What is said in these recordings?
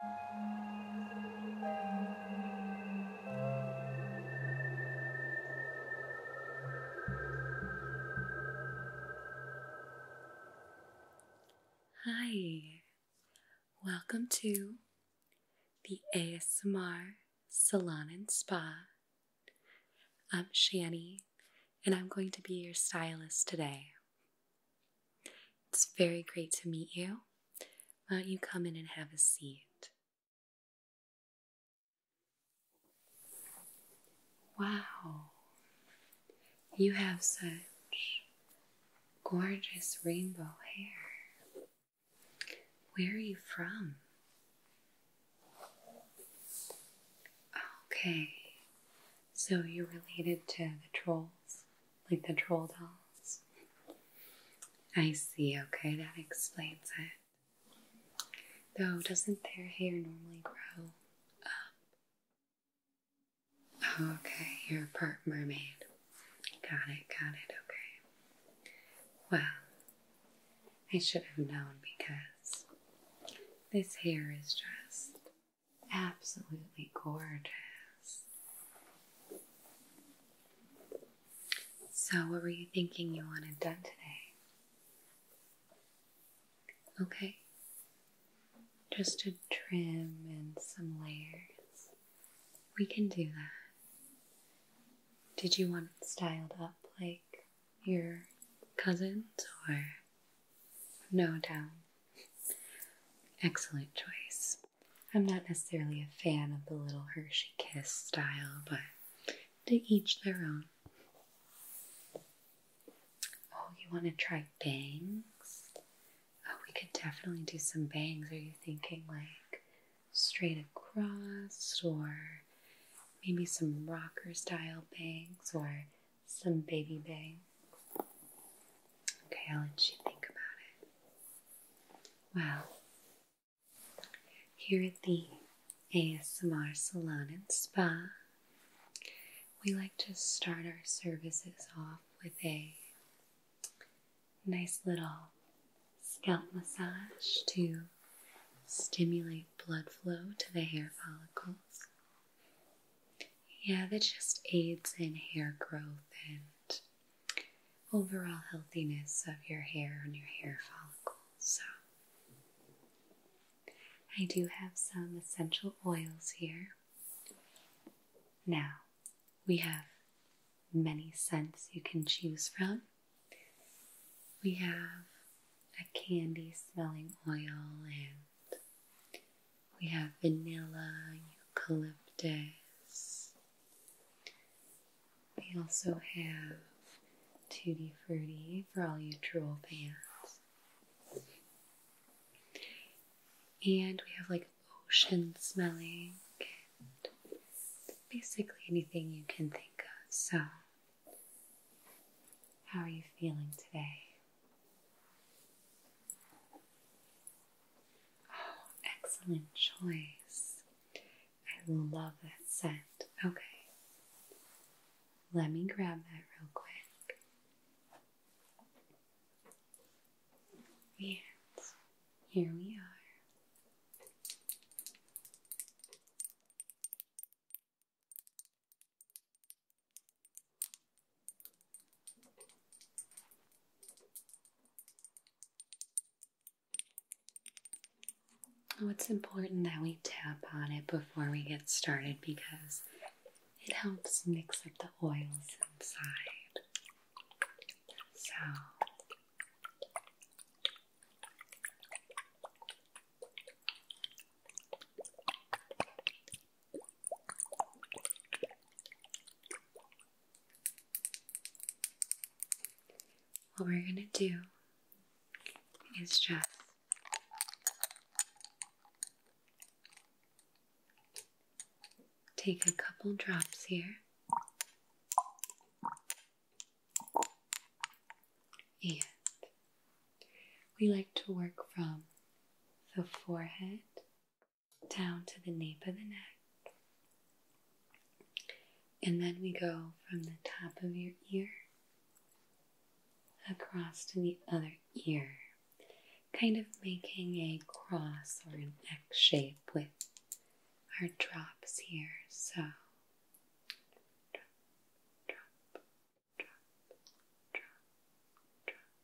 Hi, welcome to the ASMR Salon and Spa. I'm Shani, and I'm going to be your stylist today. It's very great to meet you. Why don't you come in and have a seat? Wow, you have such gorgeous rainbow hair. Where are you from? Okay, so you're related to the trolls like the troll dolls. I see, okay, that explains it. Though, doesn't their hair normally grow up? Oh, okay, you're a part mermaid. Got it, got it, okay. Well, I should have known because this hair is just Absolutely gorgeous. So, what were you thinking you wanted done today? Okay, just a trim and some layers. We can do that. Did you want it styled up like your cousins or no doubt, Excellent choice. I'm not necessarily a fan of the little Hershey Kiss style, but to each their own. Oh, you want to try bangs? Oh, we could definitely do some bangs. Are you thinking like straight across, or maybe some rocker style bangs, or some baby bangs? Okay, I'll let you think about it. Well, here at the ASMR Salon and Spa, we like to start our services off with a nice little scalp massage to stimulate blood flow to the hair follicles. Yeah, that just aids in hair growth and overall healthiness of your hair and your hair follicles. So, I do have some essential oils here. Now, we have many scents you can choose from. We have a candy smelling oil and we have vanilla, eucalyptus. We also have tutti frutti for all you drool fans. And we have like ocean smelling basically anything you can think of. So, how are you feeling today? Oh, excellent choice. I love that scent. Okay. Let me grab that real quick. And here we are. Oh, it's important that we tap on it before we get started because it helps mix up the oils inside. So, what we're going to do is just take a couple drops here and we like to work from the forehead down to the nape of the neck. And then we go from the top of your ear across to the other ear, kind of making a cross or an X shape with our drops here. So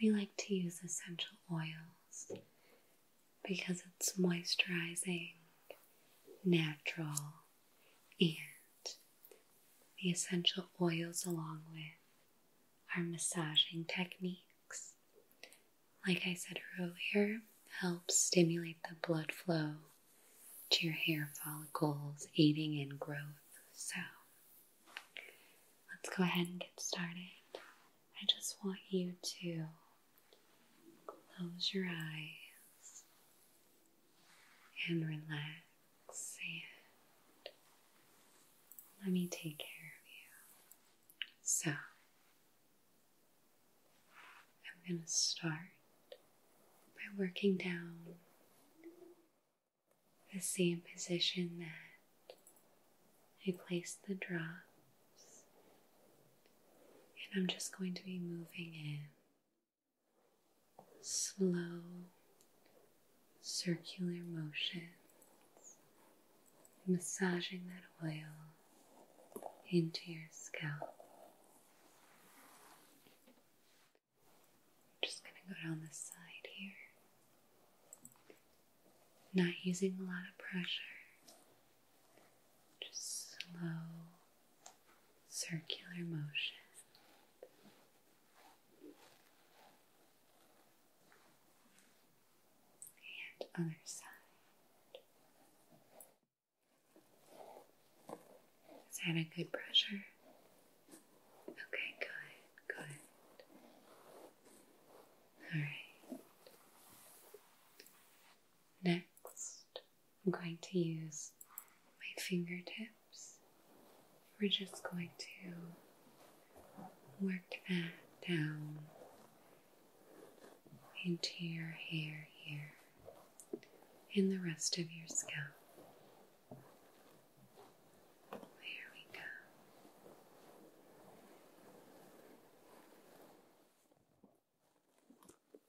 And we like to use essential oils because it's moisturizing, natural, and the essential oils along with our massaging techniques. Like I said earlier, help stimulate the blood flow to your hair follicles, aiding in growth. So let's go ahead and get started. I just want you to close your eyes and relax and let me take care of you. So, I'm going to start by working down the same position that I placed the drops, and I'm just going to be moving in slow circular motions, massaging that oil into your scalp. just going to go down the side here. Not using a lot of pressure, just slow circular motion. And other side. Is that a good pressure? Okay, good, good. All right. Next, I'm going to use my fingertips. We're just going to work that down into your hair here and the rest of your scalp. There we go.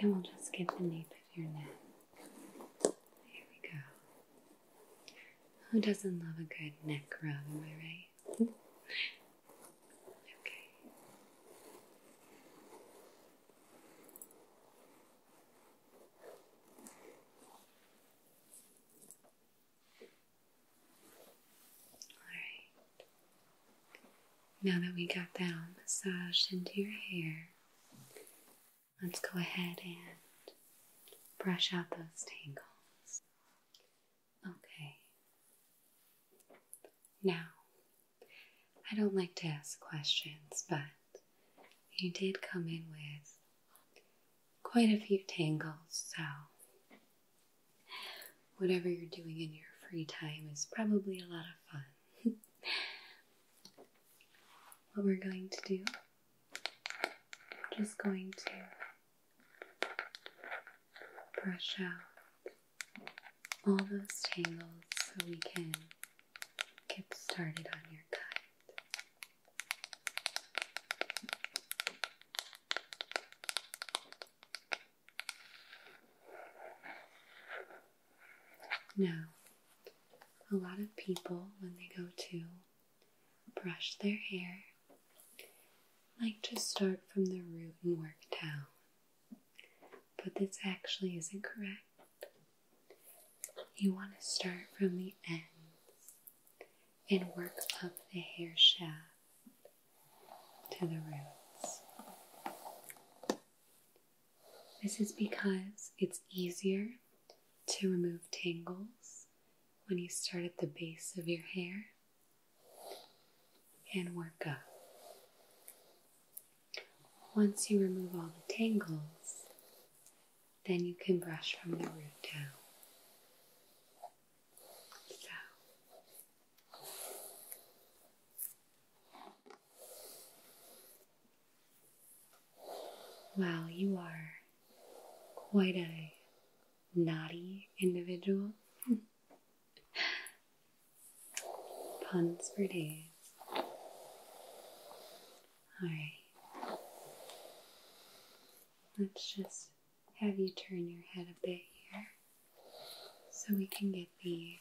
And will just get the nape of your neck. There we go. Who doesn't love a good neck rub, am I right? okay. Alright. Now that we got that all massaged into your hair, let's go ahead and brush out those tangles. Okay. Now, I don't like to ask questions, but you did come in with quite a few tangles, so whatever you're doing in your free time is probably a lot of fun. what we're going to do, I'm just going to brush out all those tangles so we can get started on your cut. Now, a lot of people, when they go to brush their hair, like to start from the root and work down. But this actually isn't correct. You want to start from the ends and work up the hair shaft to the roots. This is because it's easier to remove tangles when you start at the base of your hair and work up. Once you remove all the tangles, then you can brush from the root down. Wow, you are quite a naughty individual. Puns for days. Alright. Let's just have you turn your head a bit here so we can get the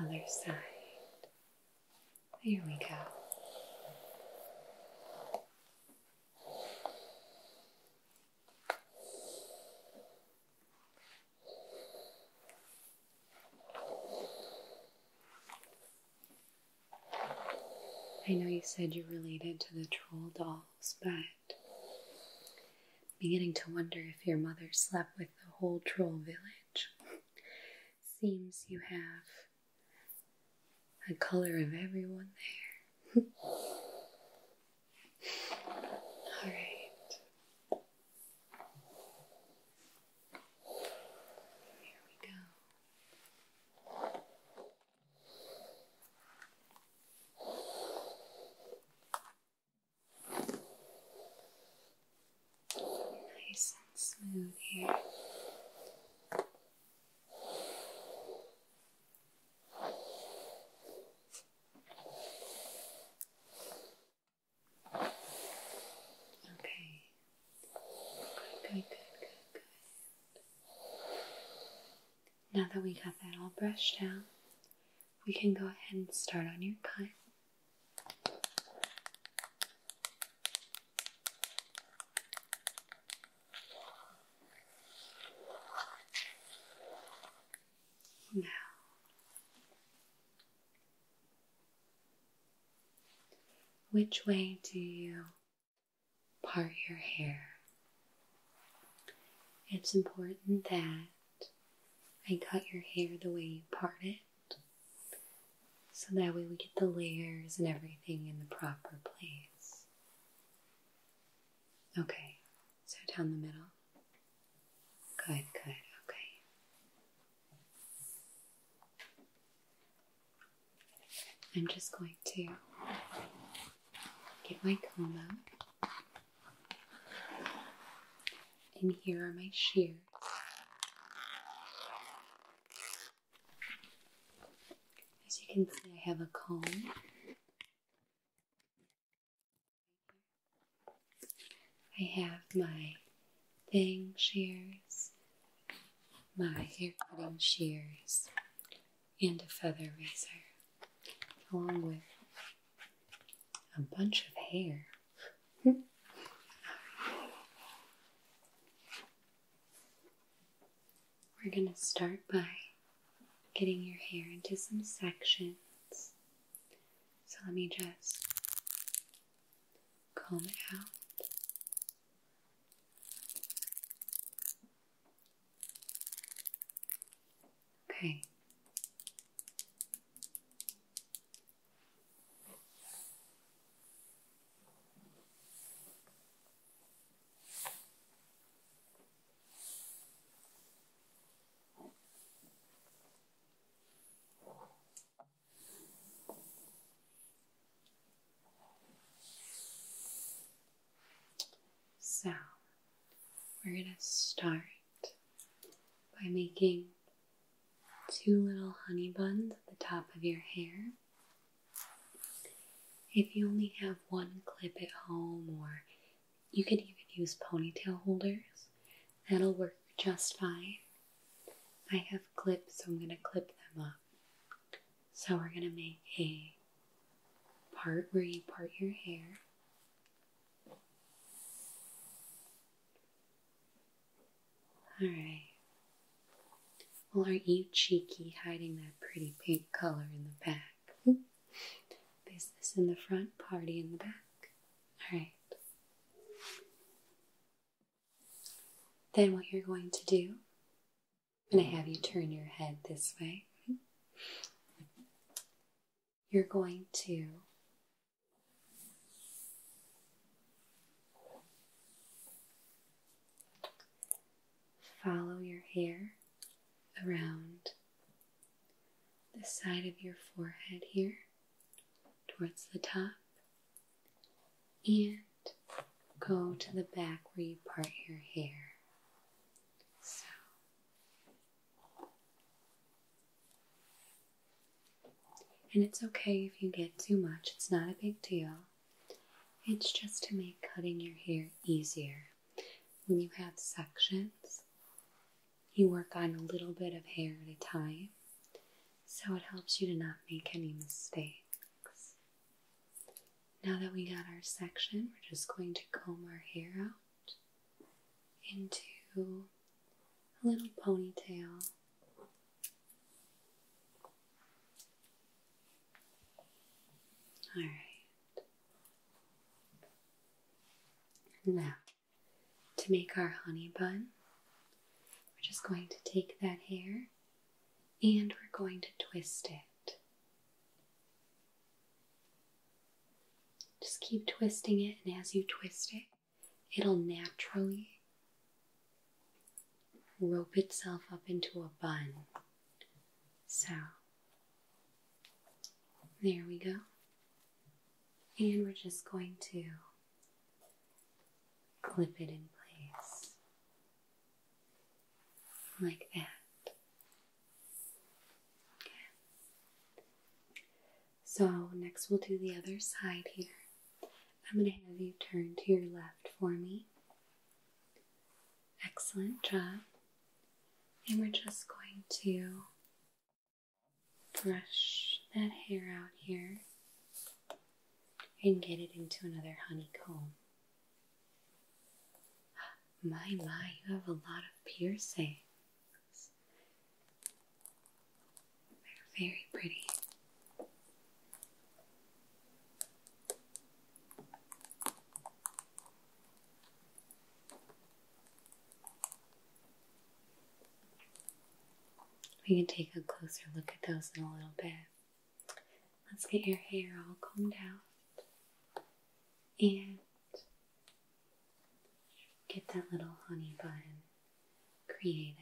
other side. Here we go. I know you said you're related to the troll dolls, but I'm beginning to wonder if your mother slept with the whole troll village. Seems you have a color of everyone there. All right. Here we go. Nice and smooth here. Okay. Good, good, good, good, good. Now that we got that all brushed out, we can go ahead and start on your cut. Now, which way do you part your hair? It's important that I cut your hair the way you part it so that way we get the layers and everything in the proper place. Okay, so down the middle. Good, good, okay. I'm just going to get my comb out. And here are my shears. As you can see, I have a comb I have my fang shears, my hair cutting shears, and a feather razor, along with a bunch of hair. We're going to start by getting your hair into some sections. So let me just comb it out. Okay. So, we're going to start by making two little honey buns at the top of your hair. If you only have one clip at home or you could even use ponytail holders. That'll work just fine. I have clips, so I'm going to clip them up. So we're going to make a part where you part your hair. Alright. Well, aren't you cheeky hiding that pretty pink color in the back? Business in the front, party in the back. Alright. Then, what you're going to do, I'm going to have you turn your head this way. You're going to follow your hair around the side of your forehead here towards the top and go to the back where you part your hair. So and it's okay if you get too much, it's not a big deal. It's just to make cutting your hair easier. When you have sections, you work on a little bit of hair at a time, so it helps you to not make any mistakes. Now that we got our section, we're just going to comb our hair out into a little ponytail. Alright, now, to make our honey bun, we're just going to take that hair and we're going to twist it. Just keep twisting it, and as you twist it, it'll naturally rope itself up into a bun. So, there we go. And we're just going to clip it in place like that. Okay. So, next we'll do the other side here. I'm going to have you turn to your left for me. Excellent job. And we're just going to brush that hair out here and get it into another honeycomb. My, my, you have a lot of piercings. They're very pretty. We can take a closer look at those in a little bit. Let's get your hair all combed out and get that little honey bun created.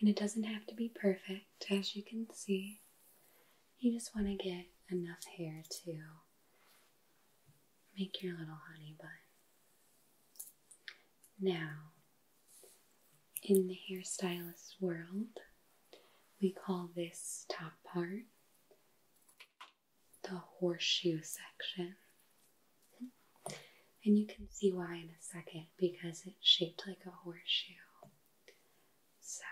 And it doesn't have to be perfect, as you can see. You just want to get enough hair to make your little honey bun. Now, in the hairstylist world, we call this top part the horseshoe section. And you can see why in a second because it's shaped like a horseshoe. So,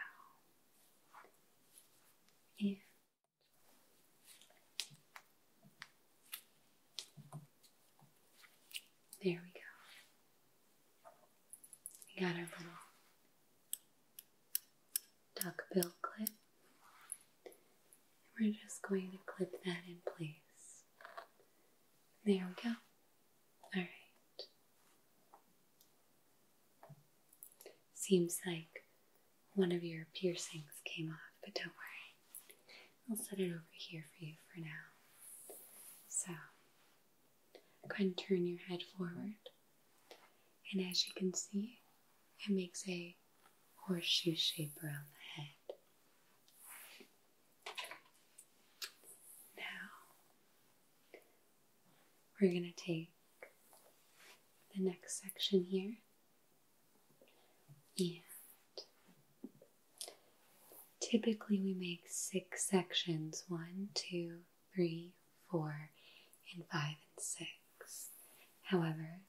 yeah. There we go. We got our little duckbill clip. And we're just going to clip that in place. There we go. Alright. Seems like one of your piercings came off, but don't worry. I'll set it over here for you for now. So, Go ahead and turn your head forward. And as you can see, it makes a horseshoe shape around the head. Now, we're going to take the next section here and typically we make six sections one, two, three, four, and five, and six. However,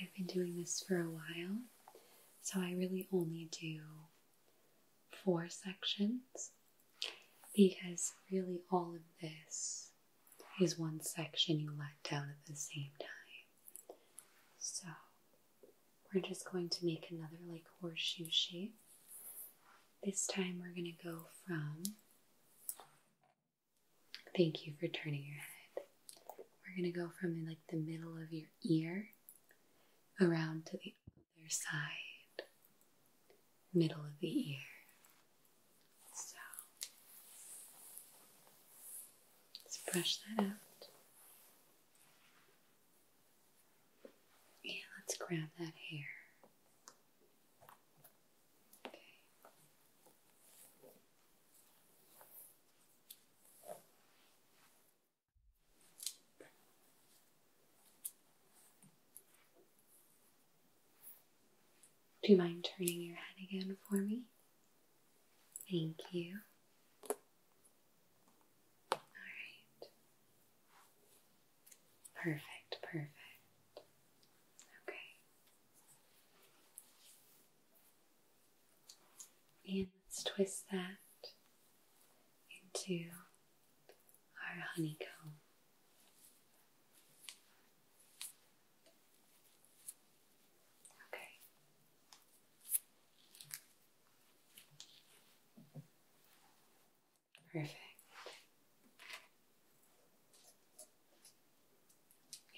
I've been doing this for a while, so I really only do four sections because really all of this is one section you let down at the same time. So we're just going to make another like horseshoe shape this time we're going to go from Thank you for turning your head. We're going to go from like the middle of your ear around to the other side, middle of the ear. So let's brush that out. Yeah, let's grab that hair. Okay. Do you mind turning your head again for me? Thank you. All right. Perfect, perfect. Okay. And let's twist that into our honeycomb. Okay. Perfect.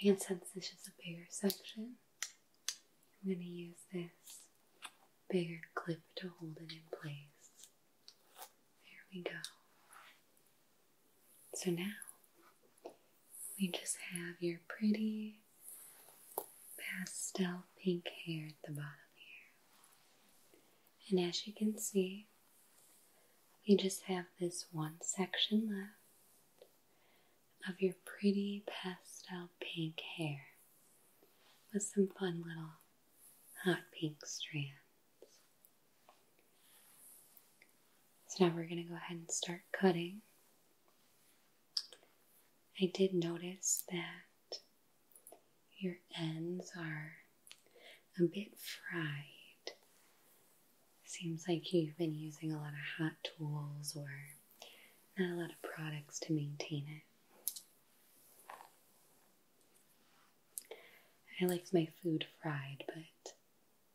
And since this is a bigger section, I'm going to use this bigger clip to hold it in place. There we go. So now we just have your pretty pastel pink hair at the bottom here. And as you can see, you just have this one section left of your pretty pastel pink hair with some fun little hot pink strands. So now we're going to go ahead and start cutting. I did notice that your ends are a bit fried. Seems like you've been using a lot of hot tools or not a lot of products to maintain it. I like my food fried, but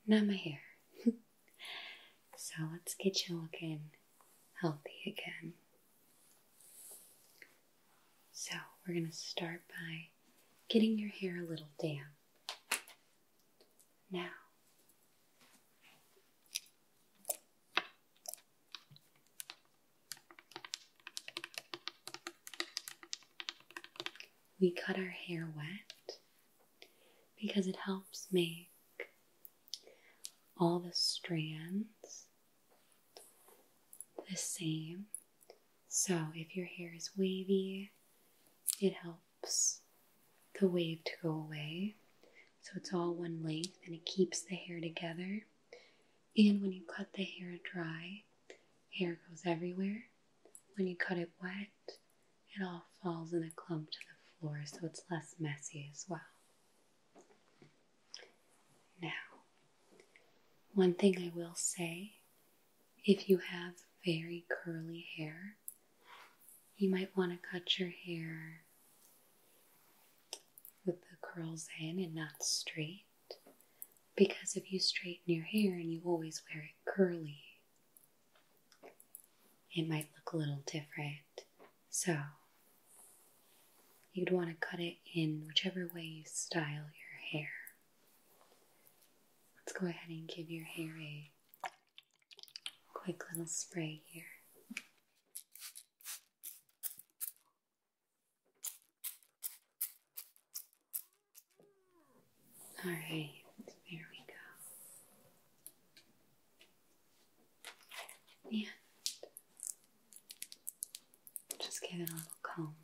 not my hair. so let's get you looking healthy again. So, we're going to start by getting your hair a little damp. Now, we cut our hair wet because it helps make all the strands the same. So if your hair is wavy, it helps the wave to go away. So it's all one length and it keeps the hair together. And when you cut the hair dry, hair goes everywhere. When you cut it wet, it all falls in a clump to the floor so it's less messy as well. Now, one thing I will say if you have very curly hair, you might want to cut your hair with the curls in and not straight. Because if you straighten your hair and you always wear it curly, it might look a little different. So, you'd want to cut it in whichever way you style your hair. Let's go ahead and give your hair a quick little spray here. All right, there we go. And just give it a little comb.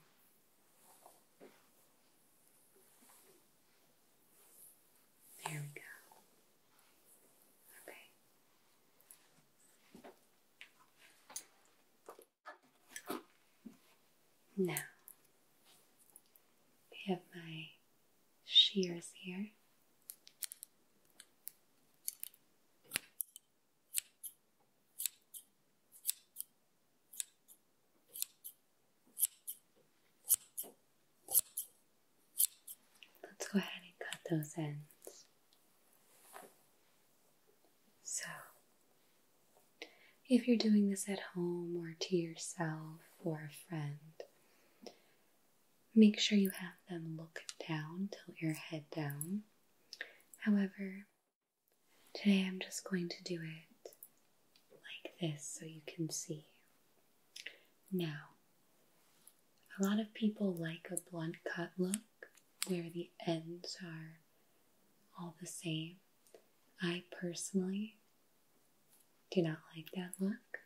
There we go. Okay. Now, I have my shears here. Let's go ahead and cut those ends. So, if you're doing this at home or to yourself or a friend, make sure you have them look down, tilt your head down. However, Today I'm just going to do it like this so you can see. Now, a lot of people like a blunt cut look where the ends are all the same. I personally do not like that look.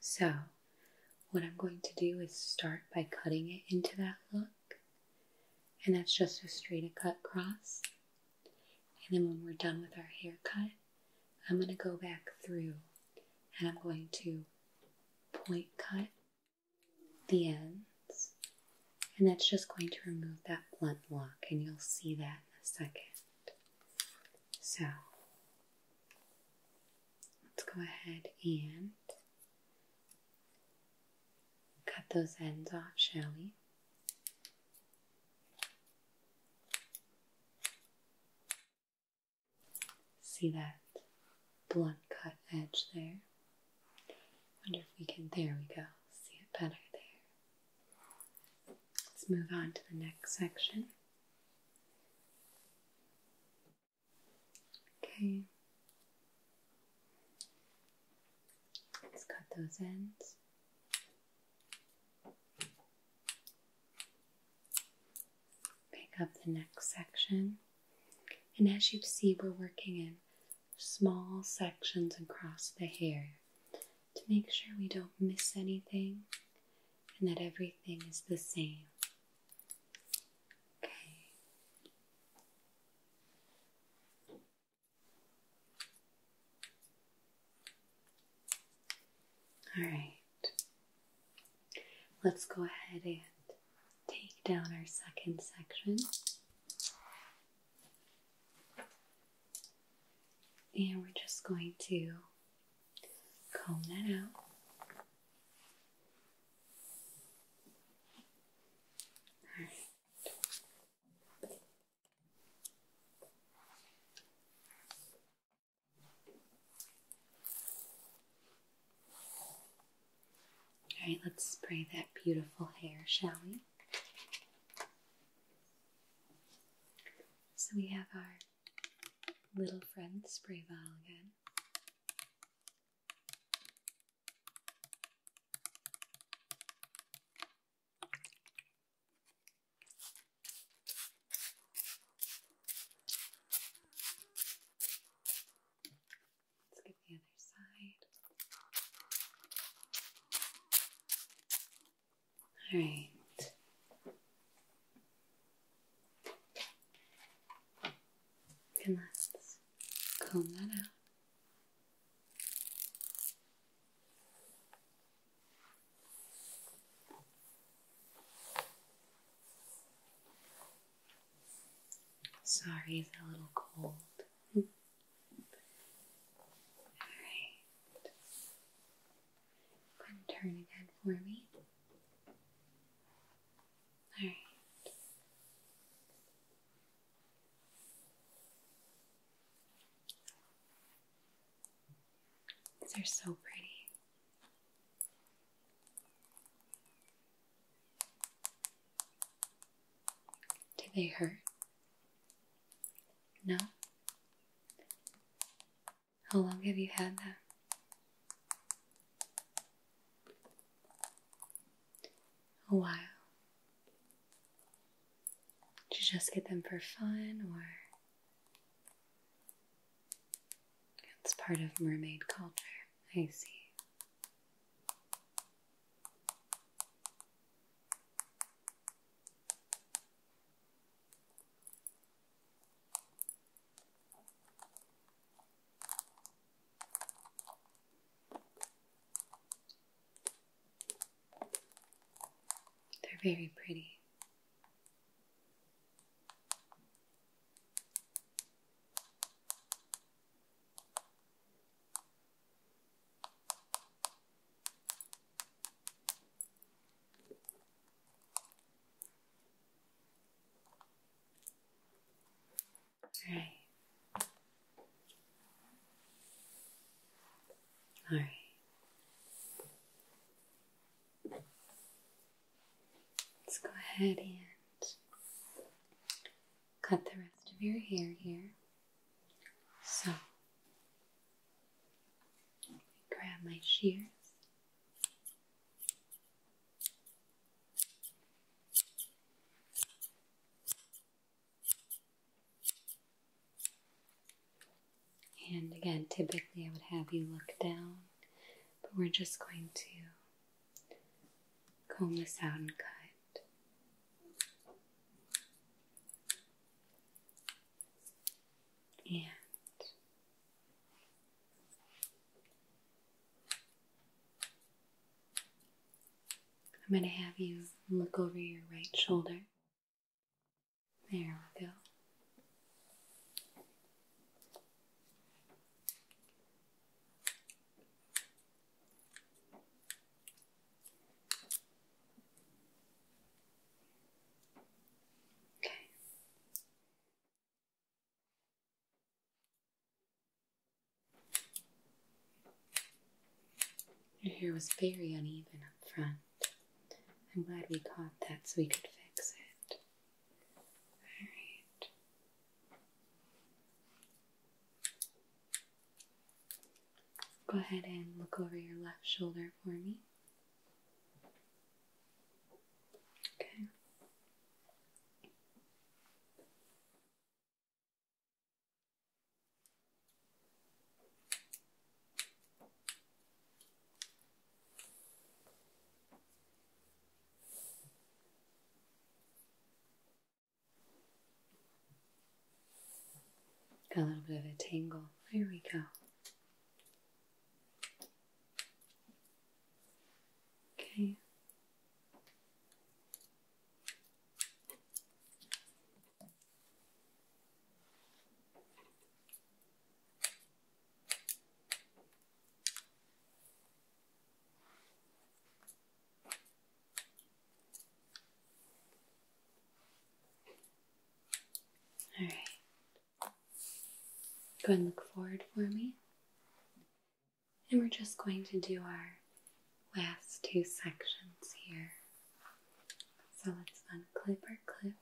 So, what I'm going to do is start by cutting it into that look and that's just a straight cut cross. And then when we're done with our haircut, I'm going to go back through and I'm going to point cut the ends. And that's just going to remove that blunt lock and you'll see that in a second. So let's go ahead and Cut those ends off, shall we? See that blunt cut edge there? Wonder if we can, there we go, see it better there. Let's move on to the next section. Okay, Let's cut those ends. Pick up the next section. And as you see, we're working in small sections across the hair to make sure we don't miss anything and that everything is the same. Okay. All right. Let's go ahead and take down our second section. And we're just going to comb that out. All right, let's spray that beautiful hair, shall we? So we have our little friend spray bottle again. Let's get the other side. All right. And let's comb that out. Sorry, it's a little cold. All right. turn again for me. All right they are so pretty. Do they hurt? No? How long have you had them? a while. Did you just get them for fun or it's part of mermaid culture? I see. They're very pretty. All right. All right. Let's go ahead and cut the rest of your hair here. So, grab my shears. And again, typically I would have you look down, but we're just going to comb this out and cut. And I'm going to have you look over your right shoulder. There we go. Okay. Your hair was very uneven up front. I'm glad we caught that so we could fix it. Alright. Go ahead and look over your left shoulder for me. Okay a little bit of a tangle. Here we go. Okay. All right. Go and look forward for me. And we're just going to do our last two sections here. So let's unclip our clips.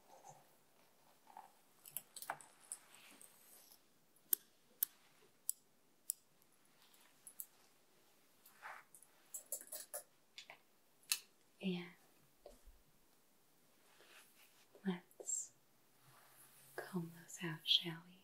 And let's comb those out, shall we?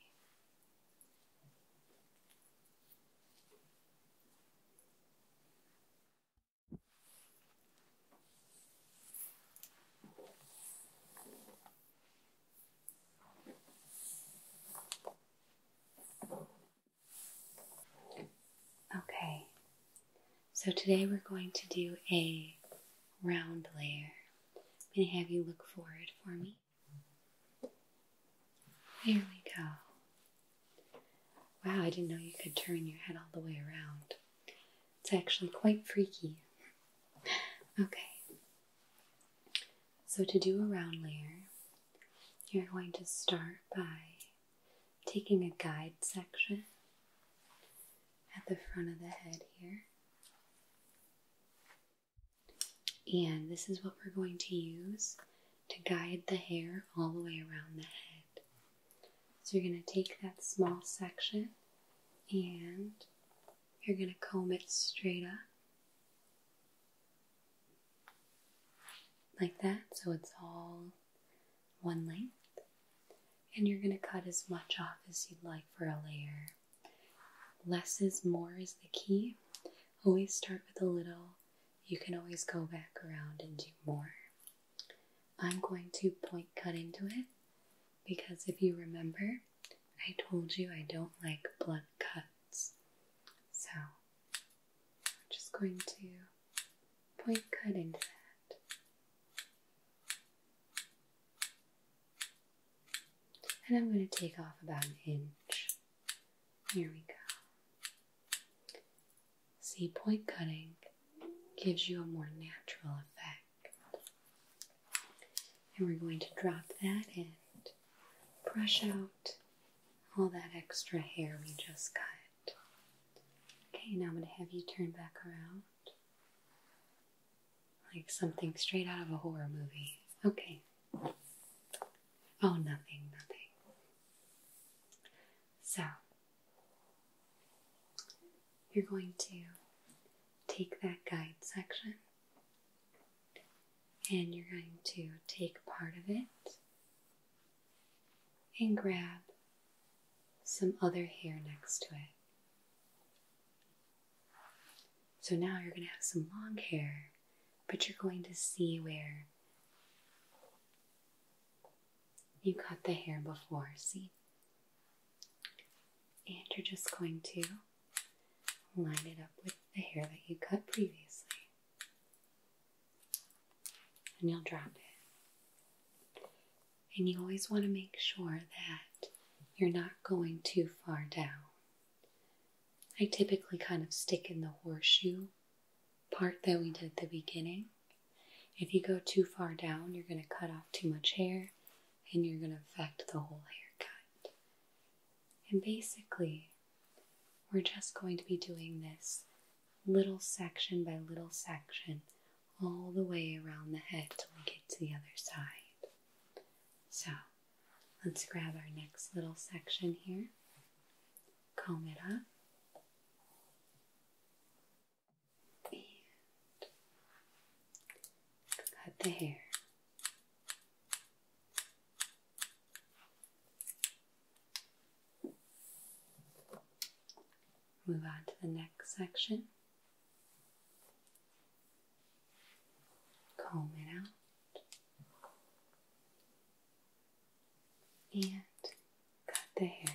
Okay, so today we're going to do a round layer. i have you look forward for me. There we go. Wow, I didn't know you could turn your head all the way around. It's actually quite freaky. Okay, so to do a round layer, you're going to start by taking a guide section at the front of the head here and this is what we're going to use to guide the hair all the way around the head. So you're going to take that small section and you're going to comb it straight up. Like that, so it's all one length. And you're going to cut as much off as you'd like for a layer. Less is more is the key. Always start with a little you can always go back around and do more. I'm going to point cut into it because if you remember, I told you I don't like blunt cuts. So I'm just going to point cut into that. And I'm going to take off about an inch. Here we go. C point cutting gives you a more natural effect. And we're going to drop that in, brush out all that extra hair we just cut. Okay, now I'm going to have you turn back around like something straight out of a horror movie. Okay, Oh, nothing, nothing. So, you're going to take that guide section and you're going to take part of it and grab some other hair next to it. So now you're going to have some long hair but you're going to see where you cut the hair before, see? And you're just going to line it up with the hair that you cut previously. And you'll drop it. And you always want to make sure that you're not going too far down. I typically kind of stick in the horseshoe part that we did at the beginning. If you go too far down, you're going to cut off too much hair and you're going to affect the whole haircut. And basically, we're just going to be doing this little section by little section all the way around the head until we get to the other side. So Let's grab our next little section here, comb it up. cut the hair. Move on to the next section. Comb it out and cut the hair.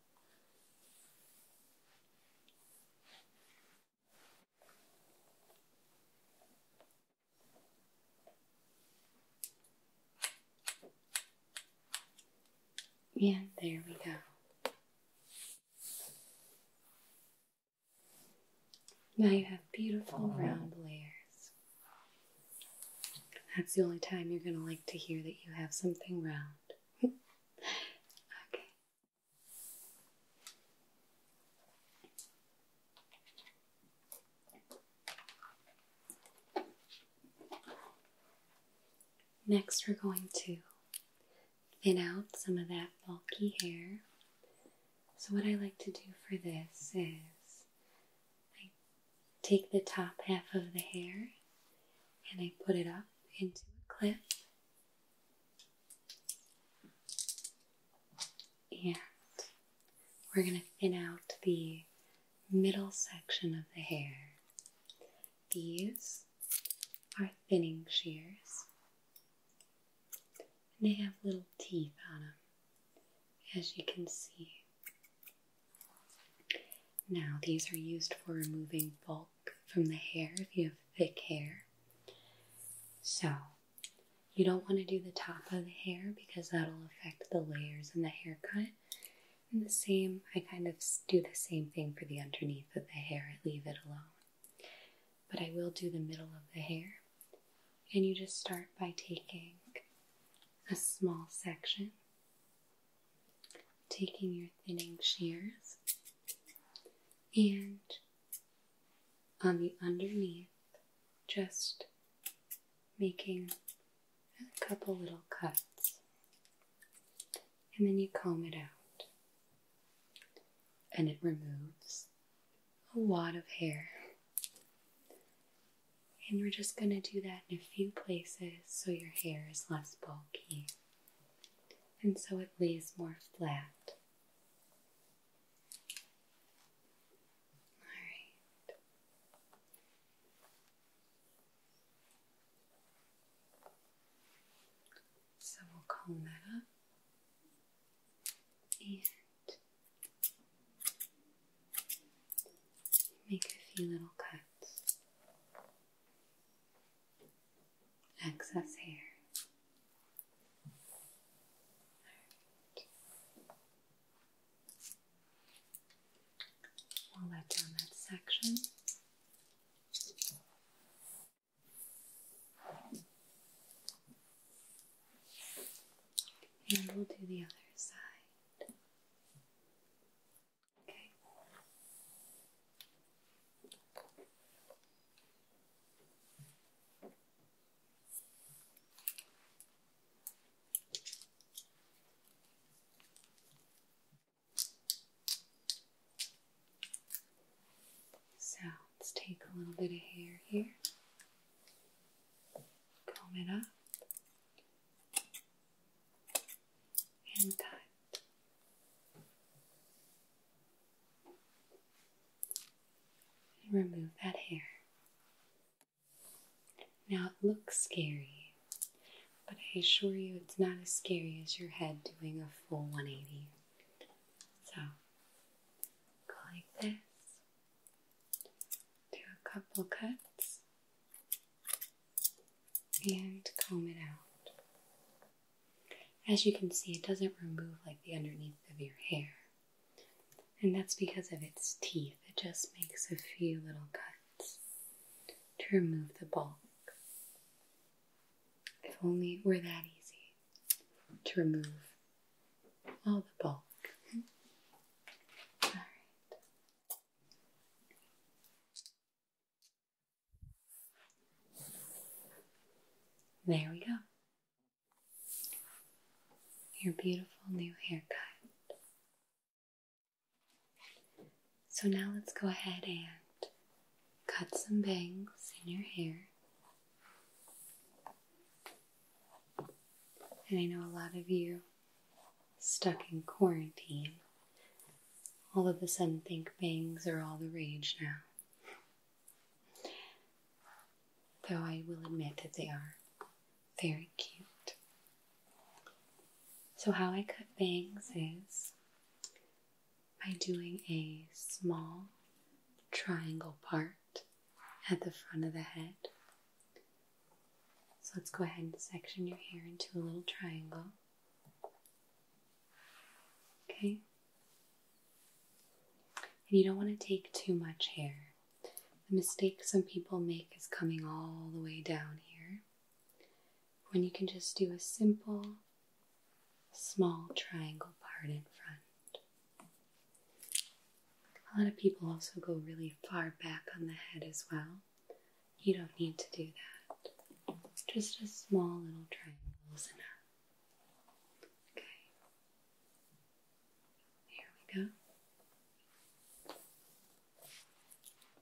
Yeah, there we go. Now you have beautiful round layers. That's the only time you're going to like to hear that you have something round. okay. Next, we're going to thin out some of that bulky hair. So, what I like to do for this is take the top half of the hair and I put it up into a clip. And we're going to thin out the middle section of the hair. These are thinning shears. And they have little teeth on them, as you can see. Now, these are used for removing bulk from the hair if you have thick hair. So, you don't want to do the top of the hair because that'll affect the layers in the haircut. And the same, I kind of do the same thing for the underneath of the hair, I leave it alone. But I will do the middle of the hair. And you just start by taking a small section taking your thinning shears and on the underneath, just making a couple little cuts, and then you comb it out, and it removes a wad of hair. And we're just going to do that in a few places so your hair is less bulky and so it lays more flat. All right. So we'll comb that up and make a few little cuts excess hair. We'll let down that section. And we'll do the other side. So let's take a little bit of hair here, comb it up and cut, remove that hair. Now it looks scary, but I assure you it's not as scary as your head doing a full 180. So go like this, do a couple cuts, and comb it out. As you can see, it doesn't remove like the underneath of your hair, and that's because of its teeth. It just makes a few little cuts to remove the bulk. If only it were that easy to remove all the bulk. All right. There we go. Your beautiful new haircut. So now let's go ahead and cut some bangs in your hair. And I know a lot of you stuck in quarantine, all of a sudden think bangs are all the rage now. Though I will admit that they are very cute. So, how I cut bangs is by doing a small triangle part at the front of the head. So, let's go ahead and section your hair into a little triangle. Okay? And you don't want to take too much hair. The mistake some people make is coming all the way down here. When you can just do a simple, small triangle part in front. A lot of people also go really far back on the head as well. You don't need to do that. Just a small little triangle is enough. Okay. Here we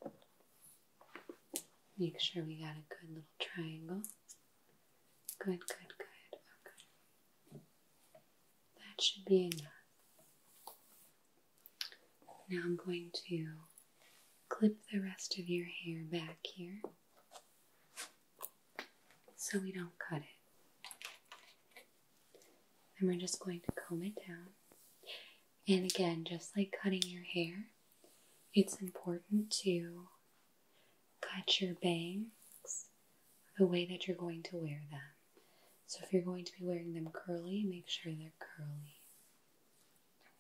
go. Make sure we got a good little triangle. Good, good, good. Okay. That should be enough. Now I'm going to clip the rest of your hair back here so we don't cut it. And we're just going to comb it down. And again, just like cutting your hair, it's important to cut your bangs the way that you're going to wear them. So if you're going to be wearing them curly, make sure they're curly.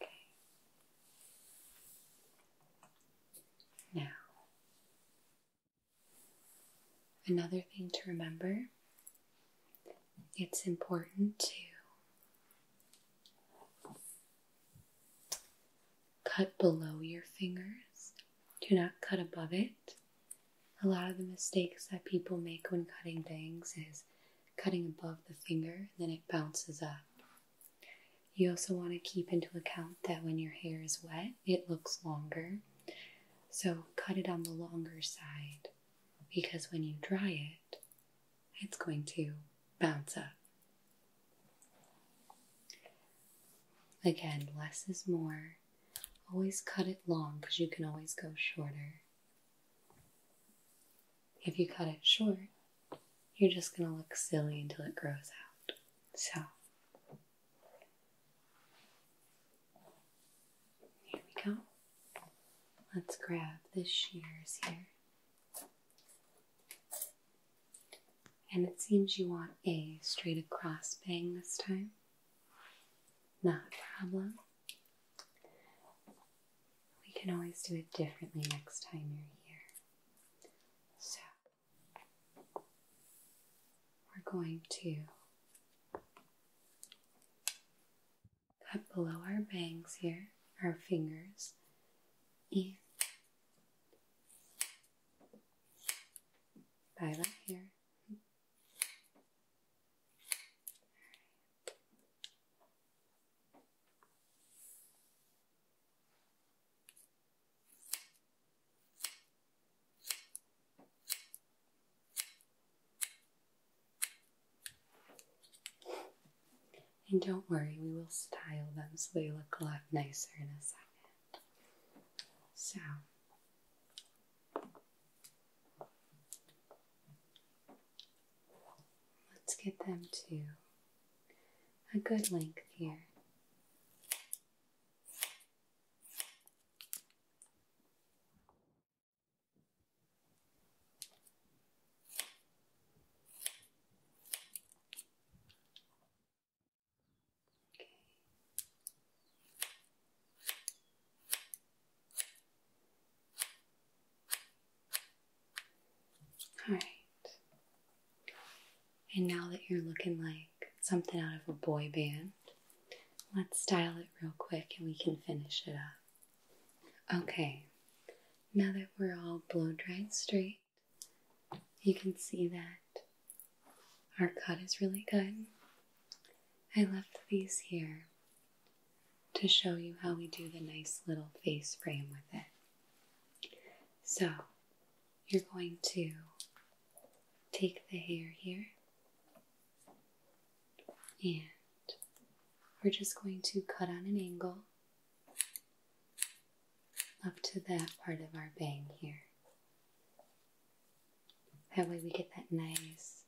Okay. Now, another thing to remember it's important to cut below your fingers, do not cut above it. A lot of the mistakes that people make when cutting bangs is cutting above the finger, then it bounces up. You also want to keep into account that when your hair is wet, it looks longer. So cut it on the longer side because when you dry it, it's going to bounce up. Again, less is more. Always cut it long because you can always go shorter. If you cut it short, you're just going to look silly until it grows out. So, here we go. Let's grab the shears here. And it seems you want a straight across bang this time. Not a problem we can always do it differently next time you're here. So, we're going to cut below our bangs here, our fingers, in by that hair. And don't worry, we will style them so they look a lot nicer in a second. So, Let's get them to a good length here. Okay. All right. And now that you're looking like something out of a boy band, let's style it real quick and we can finish it up. Okay, now that we're all blow dried straight, you can see that our cut is really good. I left these here to show you how we do the nice little face frame with it. So, you're going to take the hair here, and we're just going to cut on an angle up to that part of our bang here. That way we get that nice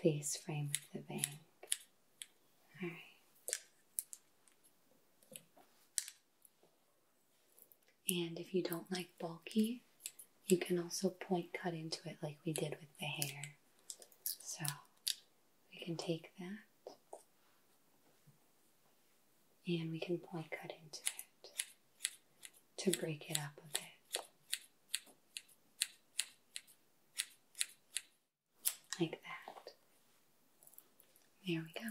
face frame with the bang. And if you don't like bulky, you can also point cut into it like we did with the hair. So we can take that and we can point cut into it to break it up a bit. Like that. There we go.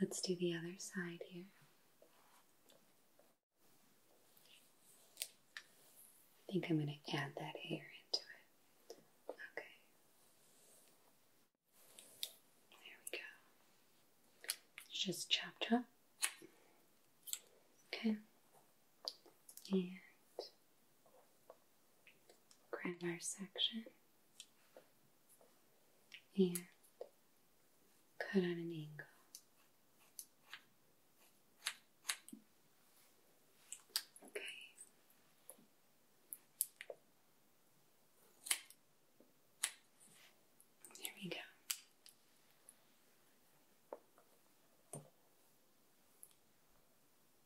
Let's do the other side here. I think I'm going to add that hair into it. Okay. There we go. Just chop chop. Okay and grab our section and cut on an angle. Okay. There we go.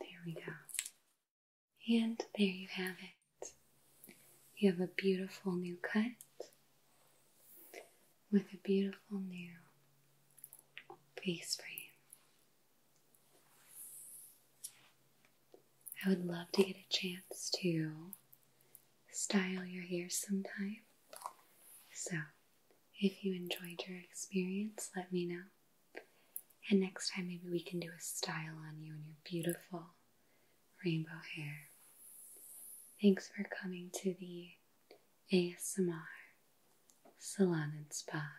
There we go. And there you have it. You have a beautiful new cut with a beautiful new face frame. I would love to get a chance to style your hair sometime. So if you enjoyed your experience, let me know. And next time, maybe we can do a style on you and your beautiful rainbow hair. Thanks for coming to the ASMR Salon and Spa.